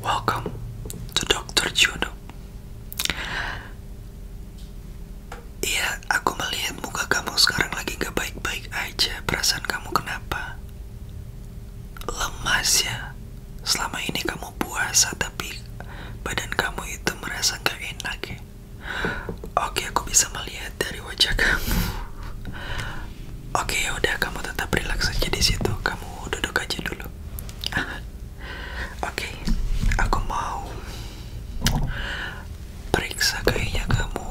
Welcome to Dr. Juno. Iya, aku melihat muka kamu sekarang lagi gak baik-baik aja. Perasaan kamu kenapa? Lemas ya. Selama ini kamu puasa tapi badan kamu itu merasa gak enak ya. Oke, aku bisa melihat dari wajah kamu. Oke, udah kamu tetap rileks aja di situ. Kamu duduk aja dulu. Oke, aku mau periksa kayaknya kamu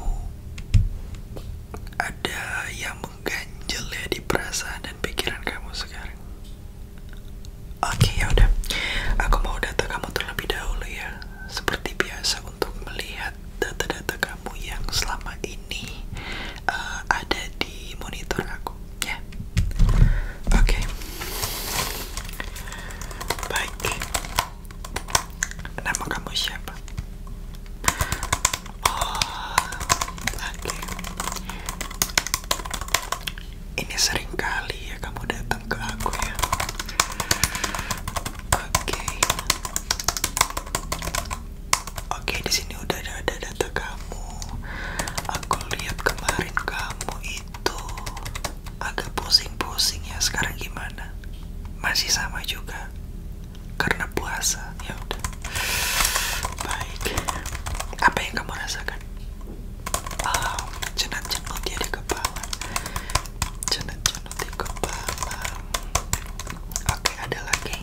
ada yang mengganjel ya di perasaan dan pikiran kamu sekarang. Oke yaudah, aku mau data kamu terlebih dahulu ya, seperti biasa untuk melihat data-data kamu yang selama ini eh, ada di monitor aku, ya. Oke, baik. Nama kamu siapa? Oh, oke. Ini sering kali ya kamu datang ke aku ya. Oke. Oke, di sini udah ada data kamu. Aku lihat kemarin kamu itu agak pusing-pusing ya. Sekarang gimana? Masih sama juga. Karena puasa. Ya udah. Baik. Apa yang kamu rasakan? um, cenut-cenut di kepala cenut-cenut di kepala oke ada lagi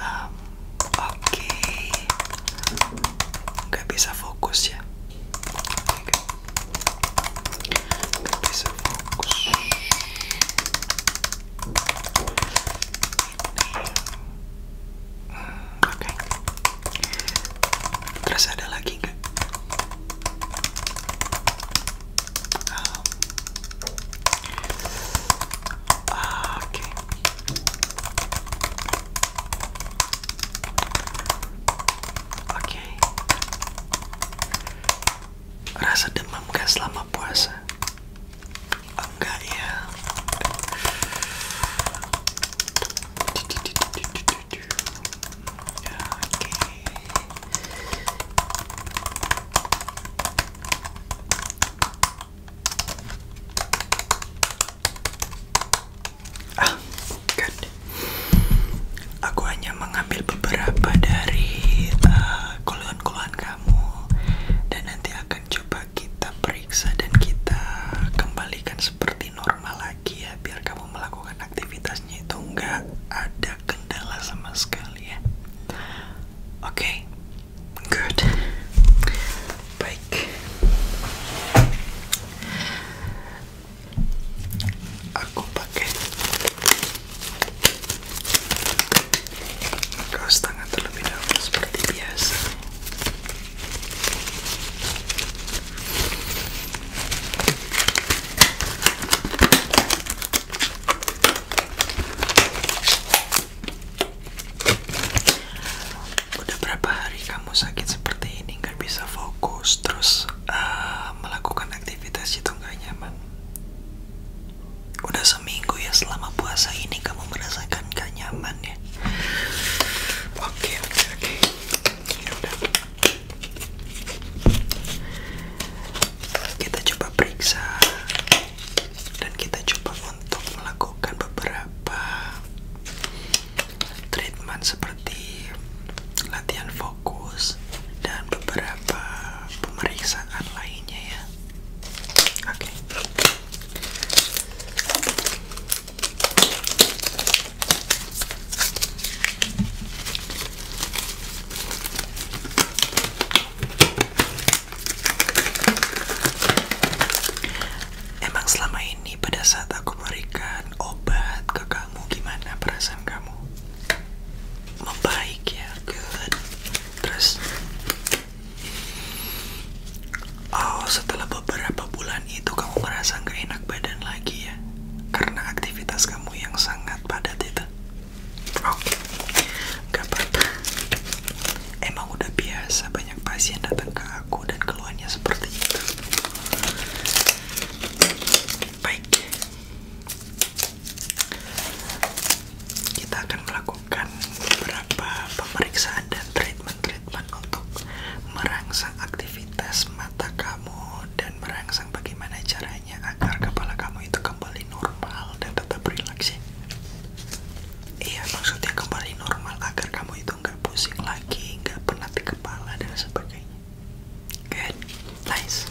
um, oke okay. nggak bisa fokus ya nggak bisa fokus um, Oke. Terus ada lagi nggak? Oke. Oke. Rasa demam gak selama puasa? Enggak ya. Ah, good. Aku hanya mengambil beberapa dari eh, keluhan-keluhan kamu dan nanti akan coba kita periksa dan kita kembalikan seperti normal lagi ya biar kamu melakukan aktivitasnya itu nggak ada kendala sama sekali ya oke good baik aku pakai kaos tangan terlebih dahulu seperti biasa Udah berapa hari kamu sakit seperti ini nggak bisa fokus terus uh, melakukan aktivitas itu nggak nyaman? Udah seminggu ya selama puasa ini kamu merasakan gak nyaman oke kita coba periksa dan kita coba untuk melakukan beberapa treatment seperti latihan fokus dan beberapa pemeriksaan lainnya ya oke Emang selama ini pada saat aku berikan obat ke kamu gimana perasaan kamu? Membaik ya, good. Terus Oh, setelah beberapa bulan itu kamu merasa nggak enak badan lagi ya? Karena aktivitas kamu yang sangat padat itu. Oke, okay. Emang udah biasa banyak pasien datang ke aku dan keluarnya seperti itu. Baik, kita akan melakukan beberapa pemeriksaan dan treatment mentreatment untuk merangsang aktivitas mata kamu dan merangsang bagaimana caranya agar kepala kamu itu kembali normal dan tetap rileks ya? Iya maksudnya kembali normal agar kamu itu nggak pusing lagi, nggak penat di kepala dan sebagainya. Good, nice.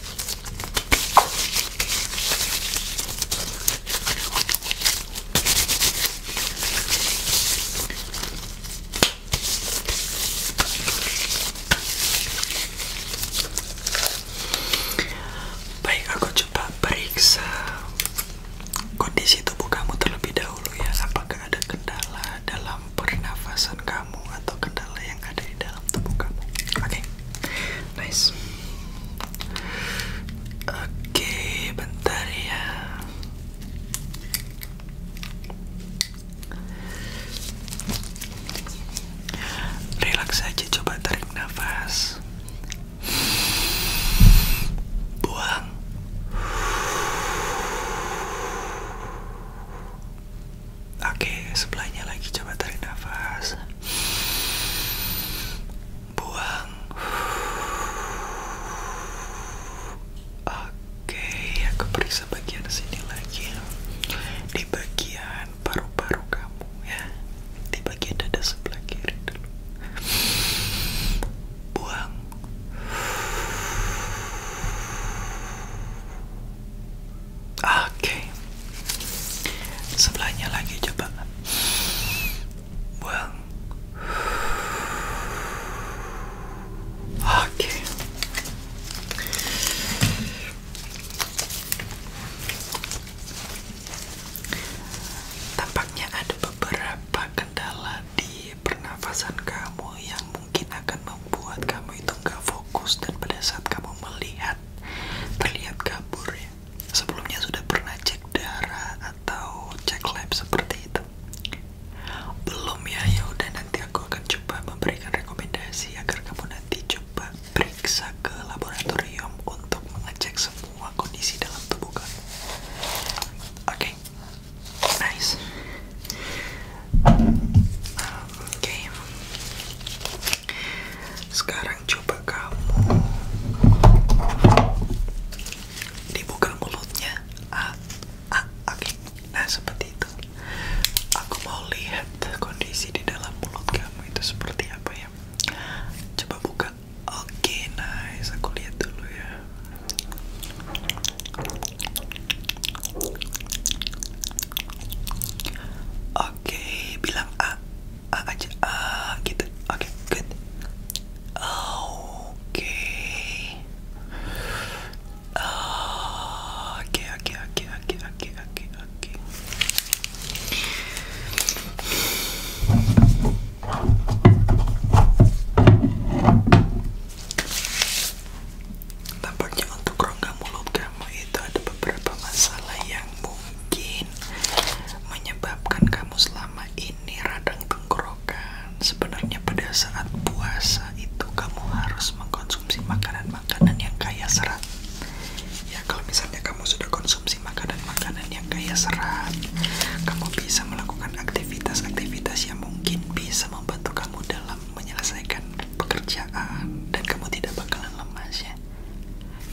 Baik, aku coba periksa kondisi tubuh kamu terlebih dahulu ya. Apakah ada kendala dalam pernafasan kamu atau kendala yang ada di dalam tubuh kamu? Oke. Nice. Oke, bentar ya. Relax saja, coba tarik nafas. Buang. Oke, sebelahnya lagi coba tarik nafas buang oke aku periksa bagian sini lagi ya. di bagian paru-paru kamu ya di bagian dada sebelah kiri dulu buang oke sebelahnya lagi coba buang oke tampaknya ada beberapa kendala di pernafasan kamu yang mungkin akan membuat kamu itu nggak fokus dan pada saat kamu melihat terlihat kabur ya sebelumnya sudah pernah cek darah atau cek lab seperti itu? Belum ya, ya udah nanti aku akan coba memberikan rekomendasi agar kamu nanti coba periksa ke laboratorium untuk mengecek semua kondisi dalam tubuh kamu. Oke, nice. Oke, sekarang coba kamu dibuka mulutnya. Ah, ah, oke. Nah, seperti itu. Aku mau lihat kondisi di dalam mulut kamu itu seperti apa ya. Coba buka. Oke, nah nice. Aku dulu ya. Oke, bilang A uh, aja uh, oke good oke oke oke oke oke oke oke Tampaknya untuk rongga mulut kamu itu ada beberapa masalah yang mungkin menyebabkan kamu selama ini radang tenggorokan. Sebenarnya pada saat puasa itu kamu harus mengkonsumsi makanan-makanan yang kaya serat. Ya kalau misalnya kamu sudah konsumsi makanan-makanan yang kaya serat, kamu bisa melakukan aktivitas-aktivitas yang mungkin bisa membantu kamu dalam menyelesaikan pekerjaan dan kamu tidak bakalan lemas ya.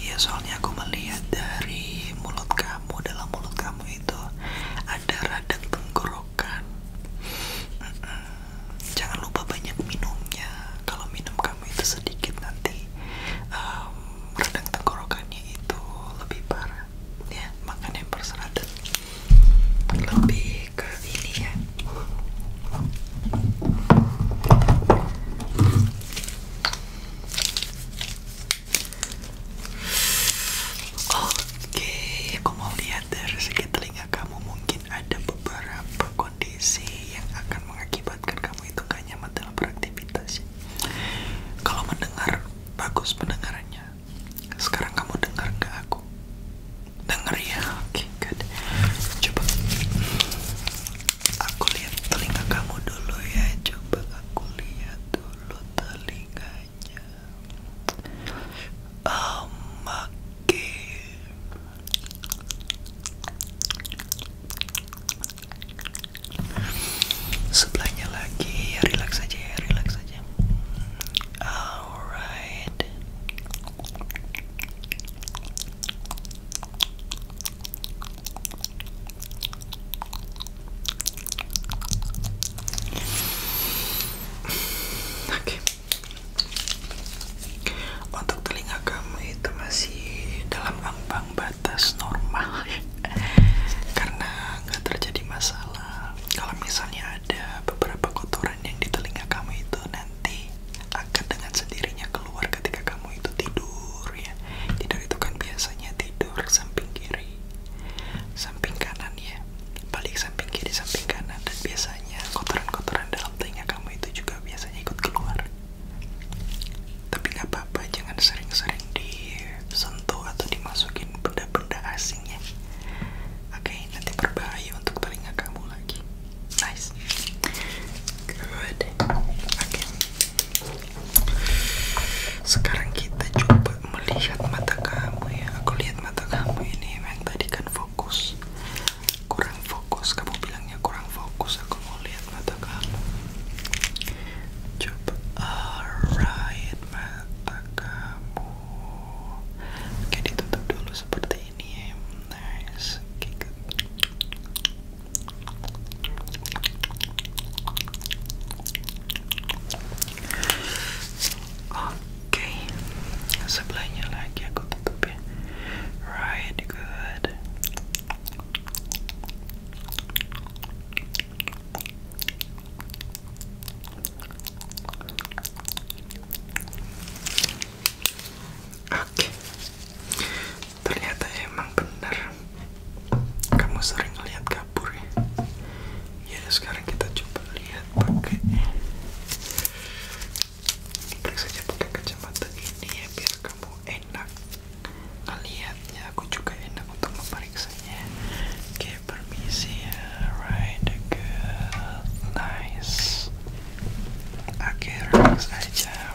Ya soalnya aku melihat dari mulut kamu Dalam mulut kamu itu ada radang tenggorokan Jangan lupa banyak minumnya Kalau minum kamu itu sedikit nanti Radang tenggorokannya itu lebih parah Ya makan yang berserat lebih ke ini ya Oke, aku mau lihat dari segi telinga kamu mungkin ada beberapa kondisi yang akan mengakibatkan kamu itu gak nyaman dalam beraktivitas. Kalau mendengar bagus pendengarannya. Sekarang kamu dengar ke aku. Dengar ya, oke, okay, Coba Aku lihat telinga kamu dulu ya. Coba aku lihat dulu telinganya. Oh, makin. Sebelahnya lagi, relax aja ya, relax aja. Alright. Oke. Untuk telinga kamu itu masih dalam ambang batas normal ya. Karena nggak terjadi masalah. Kalau misalnya ada beberapa kotoran yang di telinga kamu itu nanti akan dengan sendirinya keluar ketika kamu itu tidur ya. Tidur itu kan biasanya tidur samping kiri, samping kanan ya. Balik samping kiri, samping kanan dan biasanya kotoran-kotoran dalam telinga kamu itu juga biasanya ikut keluar. Tapi nggak apa-apa, jangan sering-sering disentuh atau dimasukin benda-benda asing ya. Oke, nanti berbahaya untuk telinga kamu lagi. Nice. Good. Oke. Sekarang kita coba melihat mata kamu ya. Aku lihat mata kamu ini yang tadi kan fokus. Kurang fokus. Kamu bilangnya kurang fokus. Aku mau lihat mata kamu. Coba. Alright, mata kamu. Oke, ditutup dulu seperti ini. Ya. Nice. Okay, Oke, sebelahnya lagi aku tutupin. Right, good. Oke, Ternyata emang benar Kamu sering lihat kabur ya Ya sekarang kita coba lihat pakai saja pakai kacamata ini ya Biar kamu enak Aku juga enak untuk memeriksanya Oke permisi ya Right good Nice aja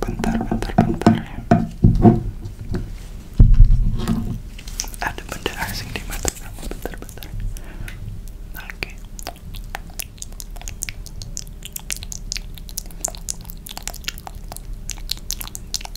bentar bentar bentar ada benda asing di mata kamu bentar bentar oke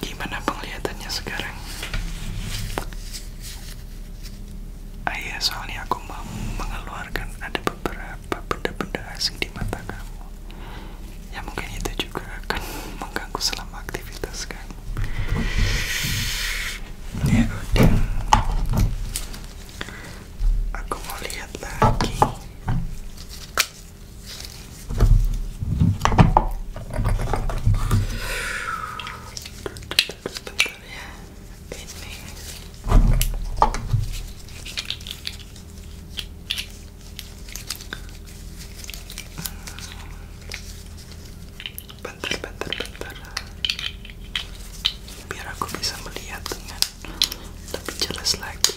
Gimana penglihatannya sekarang? Ayah iya, soalnya aku mau mengeluarkan ada beberapa benda-benda asing di mata kamu. Ya mungkin itu juga akan mengganggu selama aktivitas kamu. Ya udah. Aku mau lihat lagi bentar bentar biar aku bisa melihat dengan lebih jelas lagi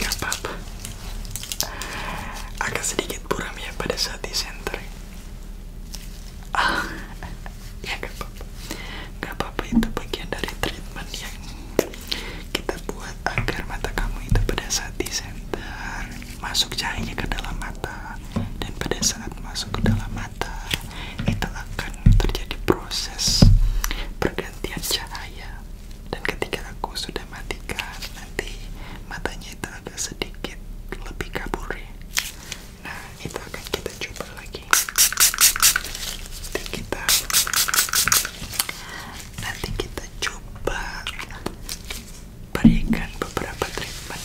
Gak apa-apa Agak sedikit buram ya pada saat di center ah, Ya gak apa-apa Gak apa-apa itu bagian dari treatment yang kita buat agar mata kamu itu pada saat di center Masuk cahaya ke dalam mata Dan pada saat masuk ke dalam mata ternyata itu akan terjadi proses pergantian cahaya dan ketika aku sudah matikan nanti matanya itu ada sedikit lebih kabur ya nah itu akan kita coba lagi nanti kita nanti kita coba berikan beberapa treatment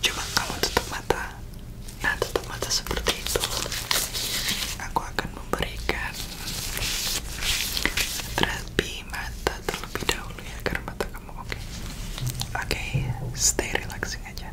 coba kamu tutup mata nah tutup mata seperti itu aku akan memberikan terapi mata terlebih dahulu ya agar mata kamu oke oke stay relaxing aja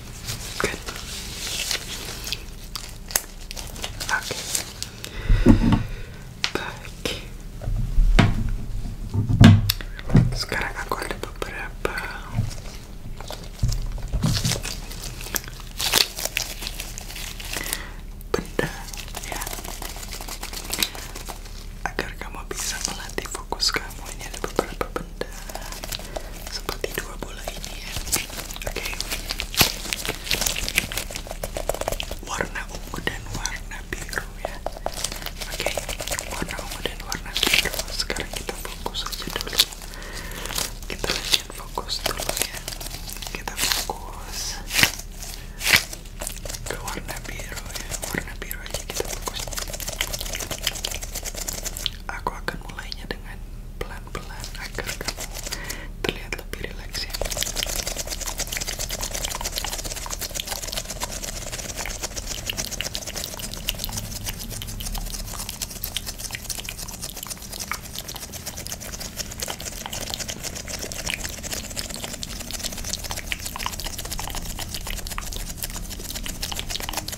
Good. Okay. Sekarang aku ada beberapa benda ya agar kamu bisa melatih fokus kamu ini ada beberapa seperti dua bola ini ya. Oke. Warna ungu dan warna biru ya. Oke. Warna ungu dan warna biru. Sekarang kita fokus aja dulu. Kita lanjut fokus dulu ya. Kita fokus ke warna biru ya. Warna biru aja kita fokus. Aku akan mulainya dengan pelan-pelan agar kamu terlihat lebih rileks ya.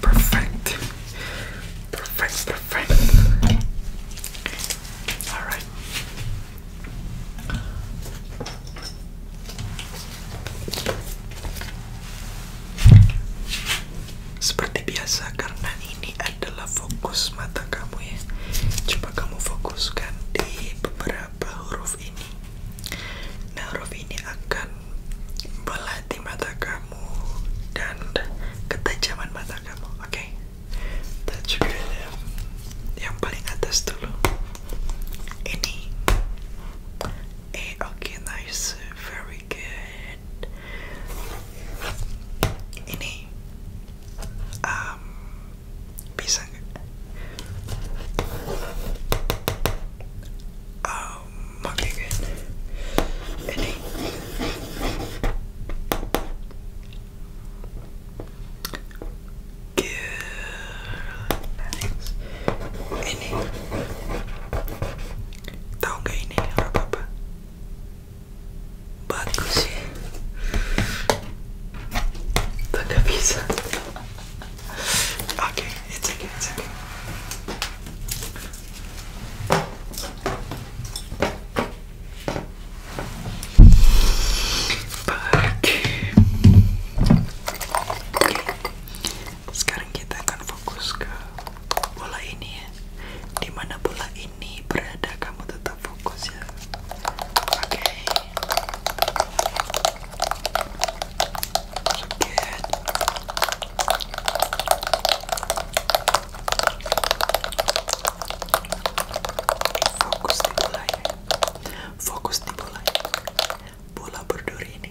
Perfect. Perfect, perfect. Alright. Seperti biasa karena ini adalah fokus mata kamu ya. Coba kamu fokuskan di beberapa huruf ini. Nah, huruf ini akan belati mata kamu dan ketajaman mata kamu, oke? Okay? yang paling atas dulu. Ini, eh oke nice, very good. Ini, um, bisa nggak? might be good. Ini. Tahu gak ini apa-apa? Bagus sih. Ya. Tidak bisa. Oke, it's okay, it's Sekarang kita akan fokus ke bola ini ya. Di mana bola ini berada kamu tetap fokus ya. Oke. Fokus di bola ya. Fokus di bola. Bola berduri ini.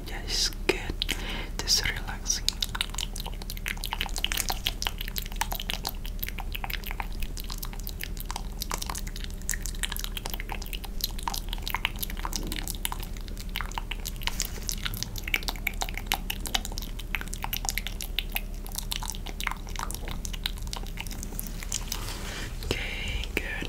Yeah, it's good. this relaxing. Okay, good.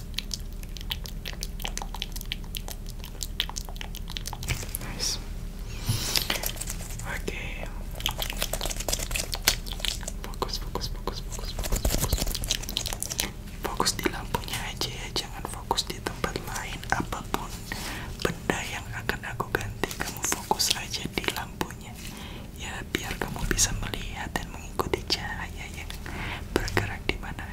Oke. Fokus, fokus, fokus, fokus, fokus, fokus. Fokus di lampunya aja ya, jangan fokus di tempat lain apapun. Benda yang akan aku ganti, kamu fokus aja di lampunya. Ya, biar kamu bisa melihat dan mengikuti cahaya yang bergerak di mana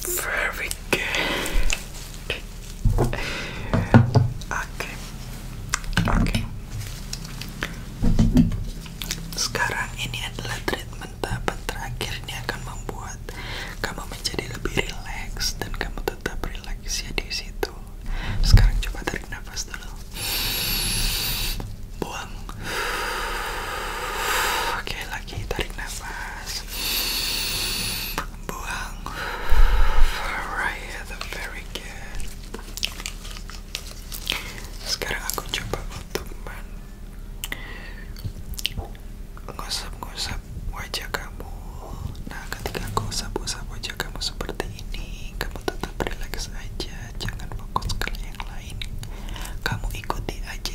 Very Oke, oke. Sekarang ini adalah treatment tahapan terakhir ini akan membuat kamu menjadi lebih rileks dan kamu tetap rileks ya di situ. Sekarang coba tarik nafas dulu. Buang. Oke, lagi tarik nafas buang here, very good sekarang aku coba untuk wajah kamu nah ketika wajah kamu seperti ini kamu tetap relax jangan fokus ke yang lain kamu ikuti aja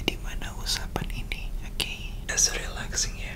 usapan ini oke that's relaxing ya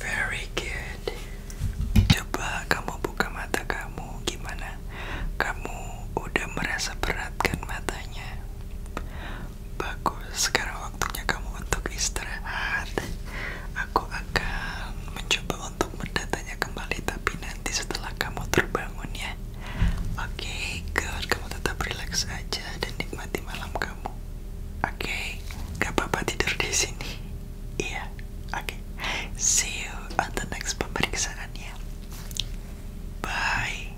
Very good. Coba kamu buka mata kamu, gimana? Kamu udah merasa berat kan matanya? Bagus, sekarang waktunya kamu untuk istirahat. Aku akan mencoba untuk mendatanya kembali, tapi nanti setelah kamu terbangun ya. Oke, okay, good. Kamu tetap relax aja dan nikmati malam kamu. Oke, okay? gak apa-apa tidur di sini. Iya, oke. See you on the next pemeriksaan ya. Bye.